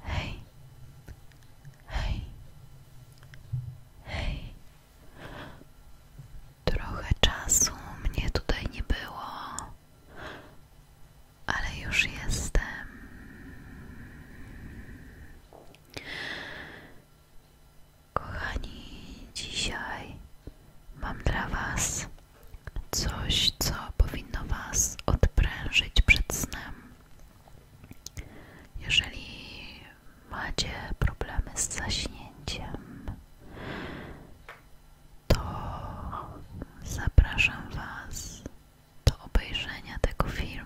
Hej, hej, hej. Trochę czasu mnie tutaj nie było, ale już jestem. Kochani, dzisiaj mam dla Was coś co powinno Was odprężyć przed snem. Jeżeli macie problemy z zaśnięciem, to zapraszam Was do obejrzenia tego filmu.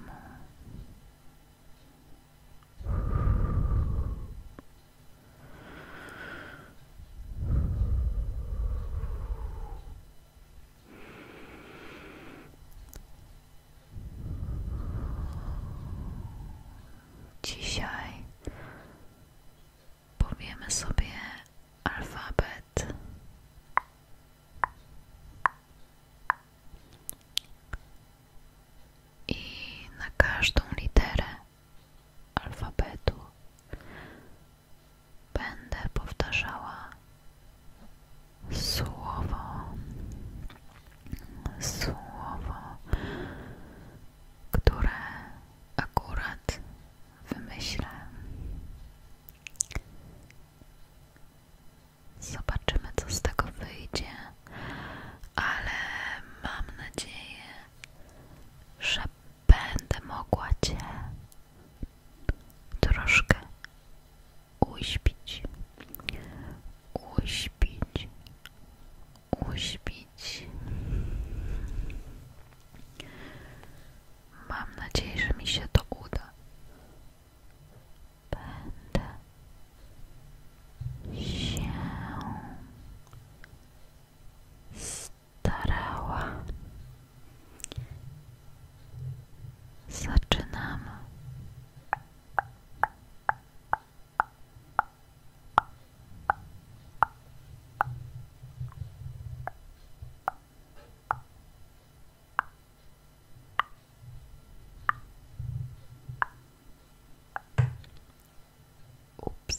Dzisiaj powiemy sobie alfabet i na każdą literę alfabetu Będę powtarzała słowo, słowo, które akurat wymyślę. Zobaczymy, co z tego wyjdzie, ale mam nadzieję, że będę mogła Cię troszkę uśpić, uśpić, uśpić. Mam nadzieję, że mi się to uda. Będę się starała. Zaczynam. Ups.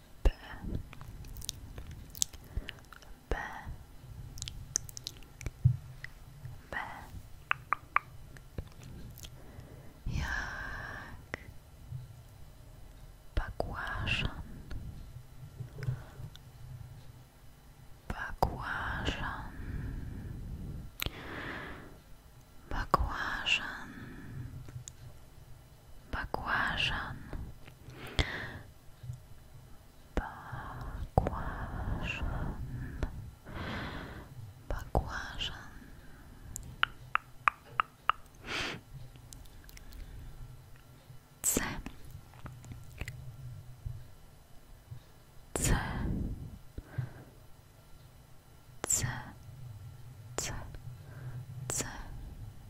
B B B jak Bagłażan Bagłażan Bagłażan Bakłażan. Bakłażan. Bakłażan. C. C. C. C. C. C.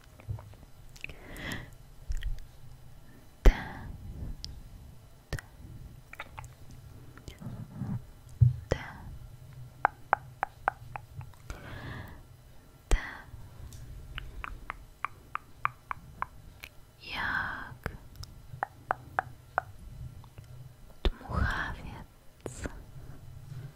T, T, T, T. Jak dmuchawiec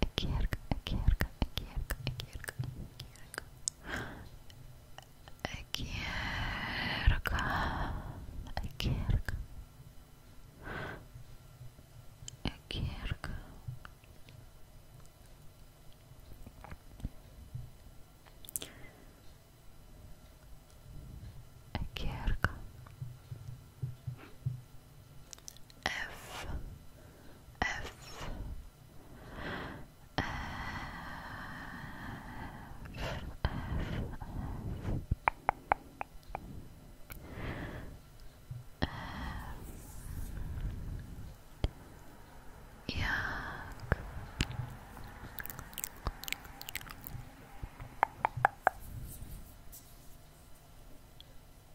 Akirka, Akirka, Akirka, Akirka, Akirka. Akirka, Akirka. Akirka. Akirka. F F F, F, F. Jak. Jak.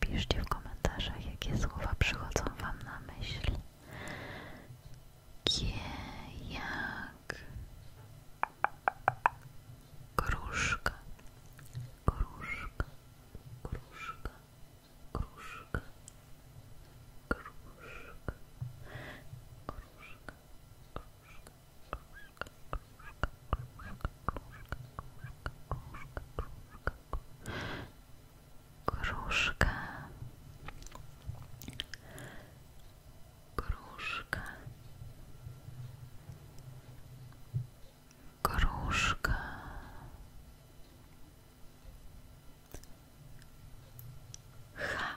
Piszcie w komentarzach, jakie słowa przychodzą Wam na myśl. Kie jak kruszka kruszka kruszka kruszka kruszka kruszka kruszka kruszka kruszka kruszka kruszka kruszka Gruszka. Gruszka. Gruszka. кружка, кружка, кружка, ха, ха.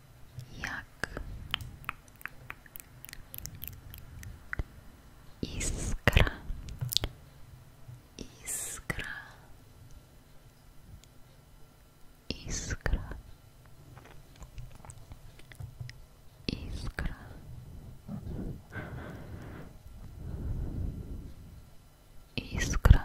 як искра, искра, искра, искра. Искра,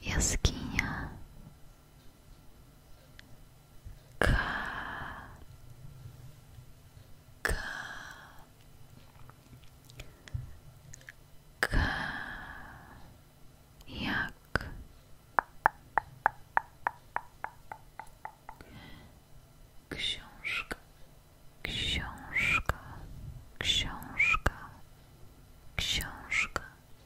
jaskinia K K K jak książka książka książka książka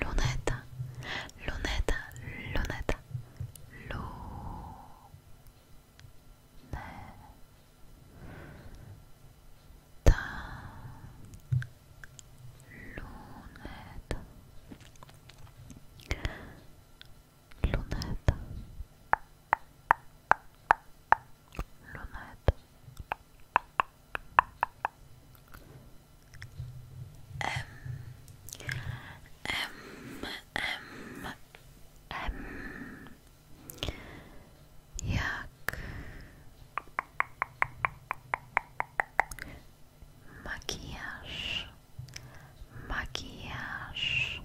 lunetta lunetta lunetta lunetta lunetta lunetta lunetta M M M M Jak makijaż makijaż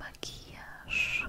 makijaż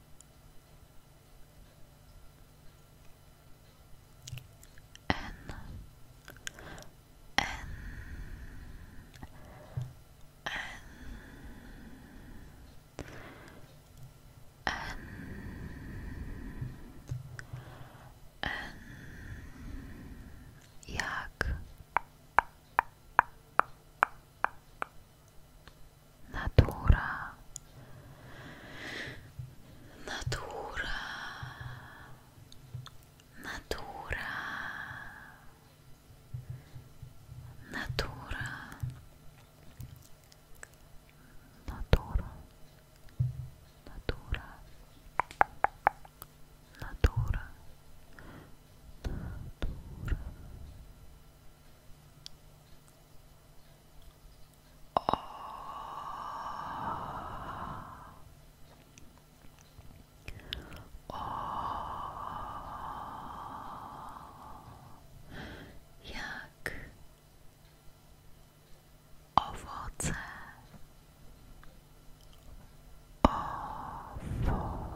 N N N N N Jak Natura, natura, natura, natura, natura, natura, natura. Natura, O. O. Jak owoce, owoce,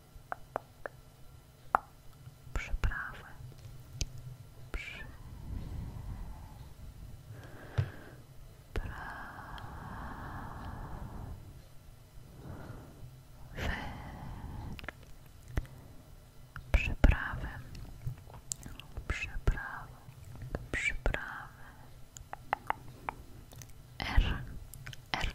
przeprawem przeprawem przeprawem przeprawem przyprawy r r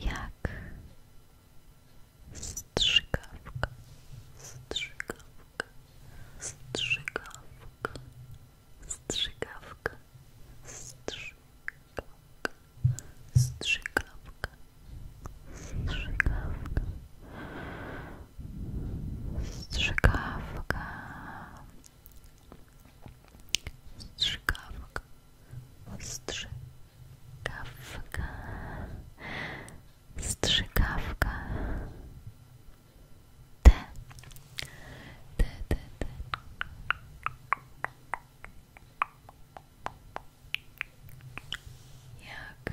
Jak strzykawka, strzykawka, strzykawka, strzykawka, strzykawka, strzykawka, strzykawka, strzykawka. Strzykawka. Strzykawka. Strzykawka. T. T, T, T. Jak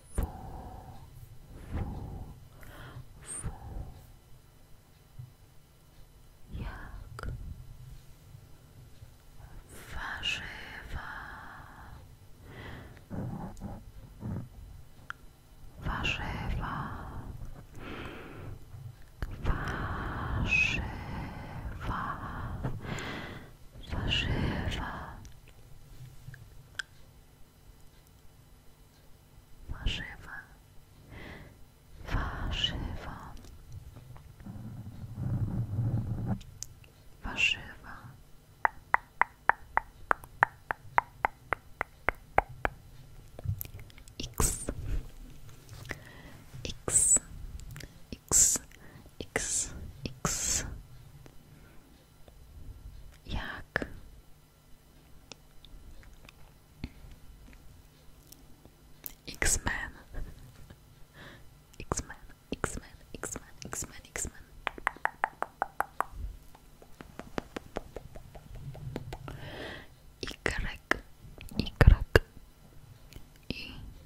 fu, fu, fu. Jak warzywa, warzywa, warzywa, warzywa. Warzywa. Warzywa. Warzywa. X. X. X. X. X. Jak? X-Men. X-Men, X-Men, X-Men, X-Men, X-Men. Igrek, Igrek, Igrek.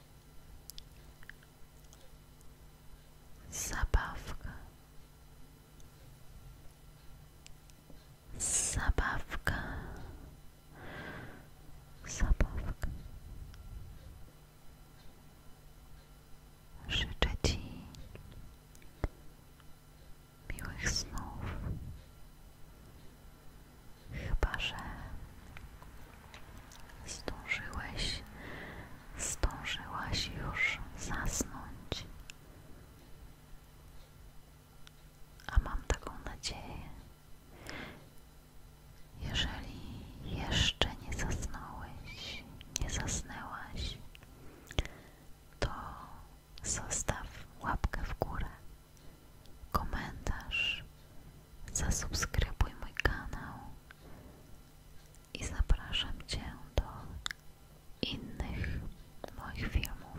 Zabawka. Zabawka. Zabawka. Życzę Ci snów Chyba, że zdążyłeś, zdążyłaś już zasnąć. A mam taką nadzieję. Jeżeli jeszcze nie zasnąłeś, nie zasnęłaś, to zostaw łapkę w górę komentarz, zasubskrybuj mój kanał i zapraszam Cię do innych moich filmów,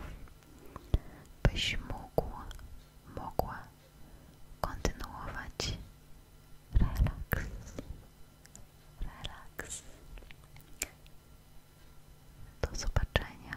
byś mógł, mogła kontynuować Relax, relax. Do zobaczenia.